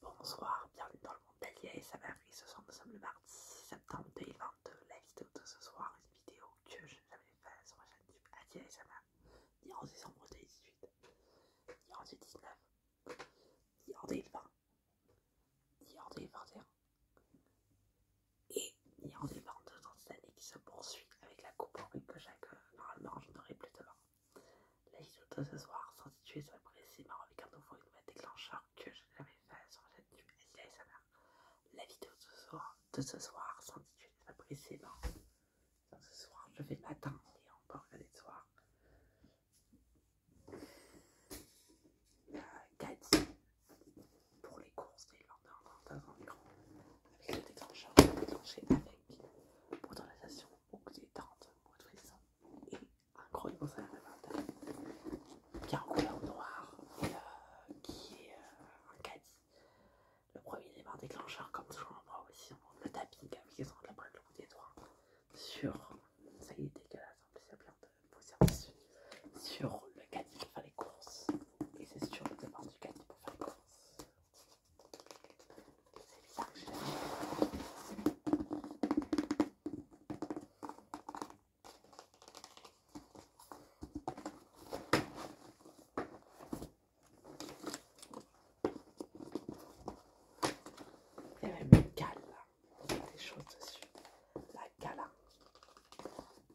Bonsoir, bienvenue dans le monde d'Adia et sa Ce soir, nous sommes le mardi 6 septembre 2022. La vidéo de ce soir est une vidéo que je n'ai jamais faite sur ma chaîne YouTube et sa mère, ni en décembre 2018, ni en 2019, ni en 2020, ni en 2021, et ni en 2022 dans cette année qui se poursuit avec la coupe en que chaque normalement je n'aurai plus demain. La vidéo de ce soir sans sur soit marrant avec un nouveau et déclencheur que je n'avais fait sur la chaîne du ASMR. La vidéo de ce soir, sans ce soit sur Ce soir, je vais m'attendre et encore regarder ce soir. Euh, pour les courses et l'ordre dans un écran avec le déclencheur déclenché avec autorisation ou des 30 ou de et un gros de qui est en couleur noire et euh, qui est euh, un caddie. Le premier départ déclencheur, comme toujours, moi aussi, on le tapping avec les la après le bout des doigts sur. Ça y est, dégueulasse, en plus il y a plein de poussière dessus. Sur le caddie pour faire les courses. Et c'est sur le départ du caddie pour faire les courses. C'est bizarre que j'ai il y avait une cale là, des choses dessus. La gala. Hein.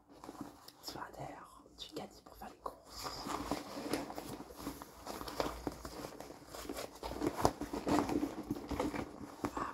On se fait un caddie pour faire les courses. Ah,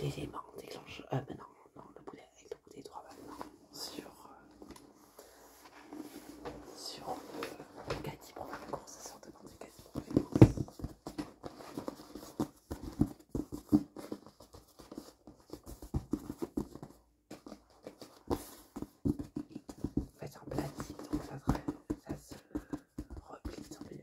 L'élément déclenche. Ah, euh, maintenant non, le boulet avec le boulet droit maintenant sur. Euh, sur le Cathy pour la course, ça sort de Nantes c'est fait, en plastique, donc ça, ça se replie sur les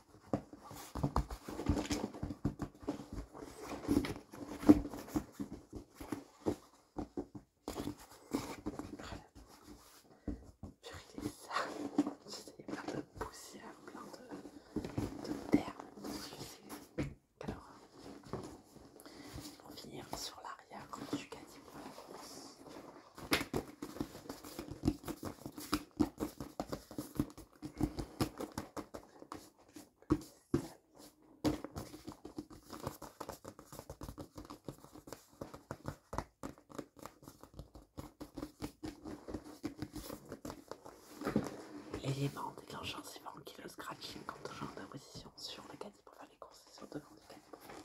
J'ai ça. J'ai plein de poussière, plein de, de terre. Alors, pour finir sur l'arrière, quand tu gagnes. Et les L'élément déclencheur, c'est vraiment qui le scratching quand on change de position sur le caddie pour faire les courses et sur devant du caddie pour faire les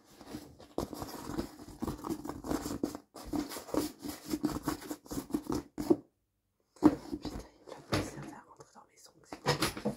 Putain, il a pas servi rentrer dans les ongles.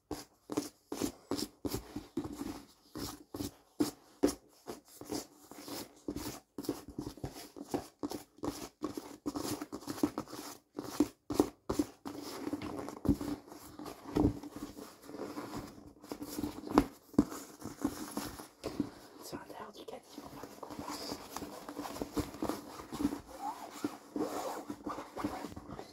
Sur l'intérieur du caddie,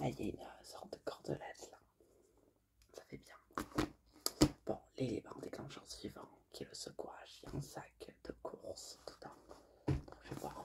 Là, ah, il y a une euh, sorte de cordelette là. Ça fait bien. Bon, l'élément déclencheur suivant qui est le secouage. Il y a un sac de course tout Je vais voir.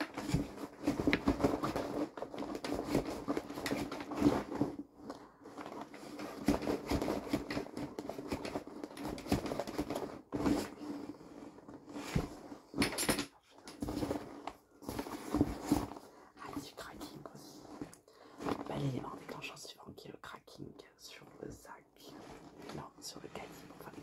Ah, du cracking aussi. Bel élément déclenchant suivant qui est le cracking sur le sac. Non, sur le calibre, enfin les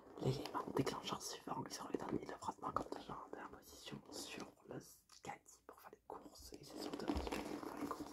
L'élément en suivant sur les derniers, comme frottement contre en position sur le caddie pour faire les courses et c'est surtout pour faire les courses.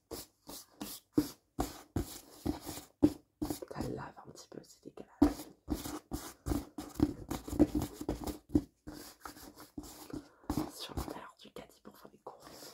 Ça lave un petit peu, c'est décalage. Sur l'intérieur du caddie pour faire des courses.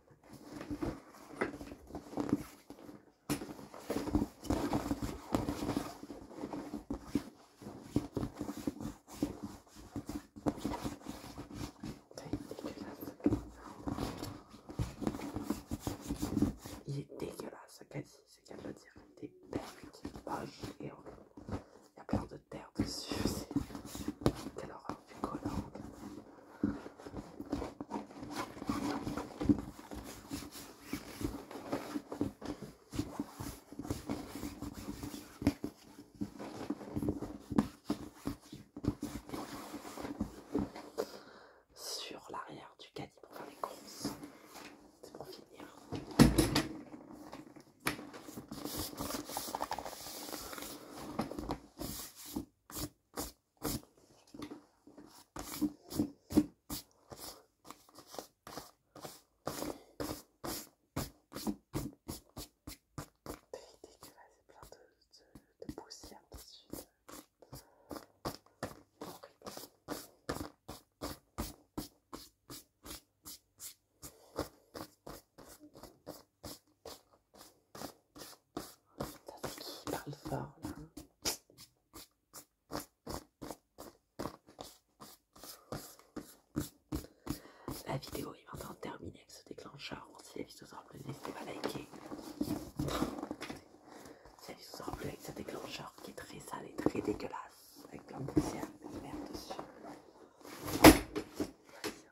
Il est dégueulasse, dit, c'est qu'elle doit dire. des terres belle, qui est et Il y a plein de terre dessus. Quelle horreur. Sur l'arrière du caddie pour faire les courses, c'est pour finir c'est plein de, de, de poussière dessus. Horrible. La vidéo est maintenant terminée avec ce déclencheur. Si la vidéo vous aura plu, n'hésitez pas à liker. la vidéo vous aura avec ce déclencheur qui est très sale et très dégueulasse, avec plein de et dessus.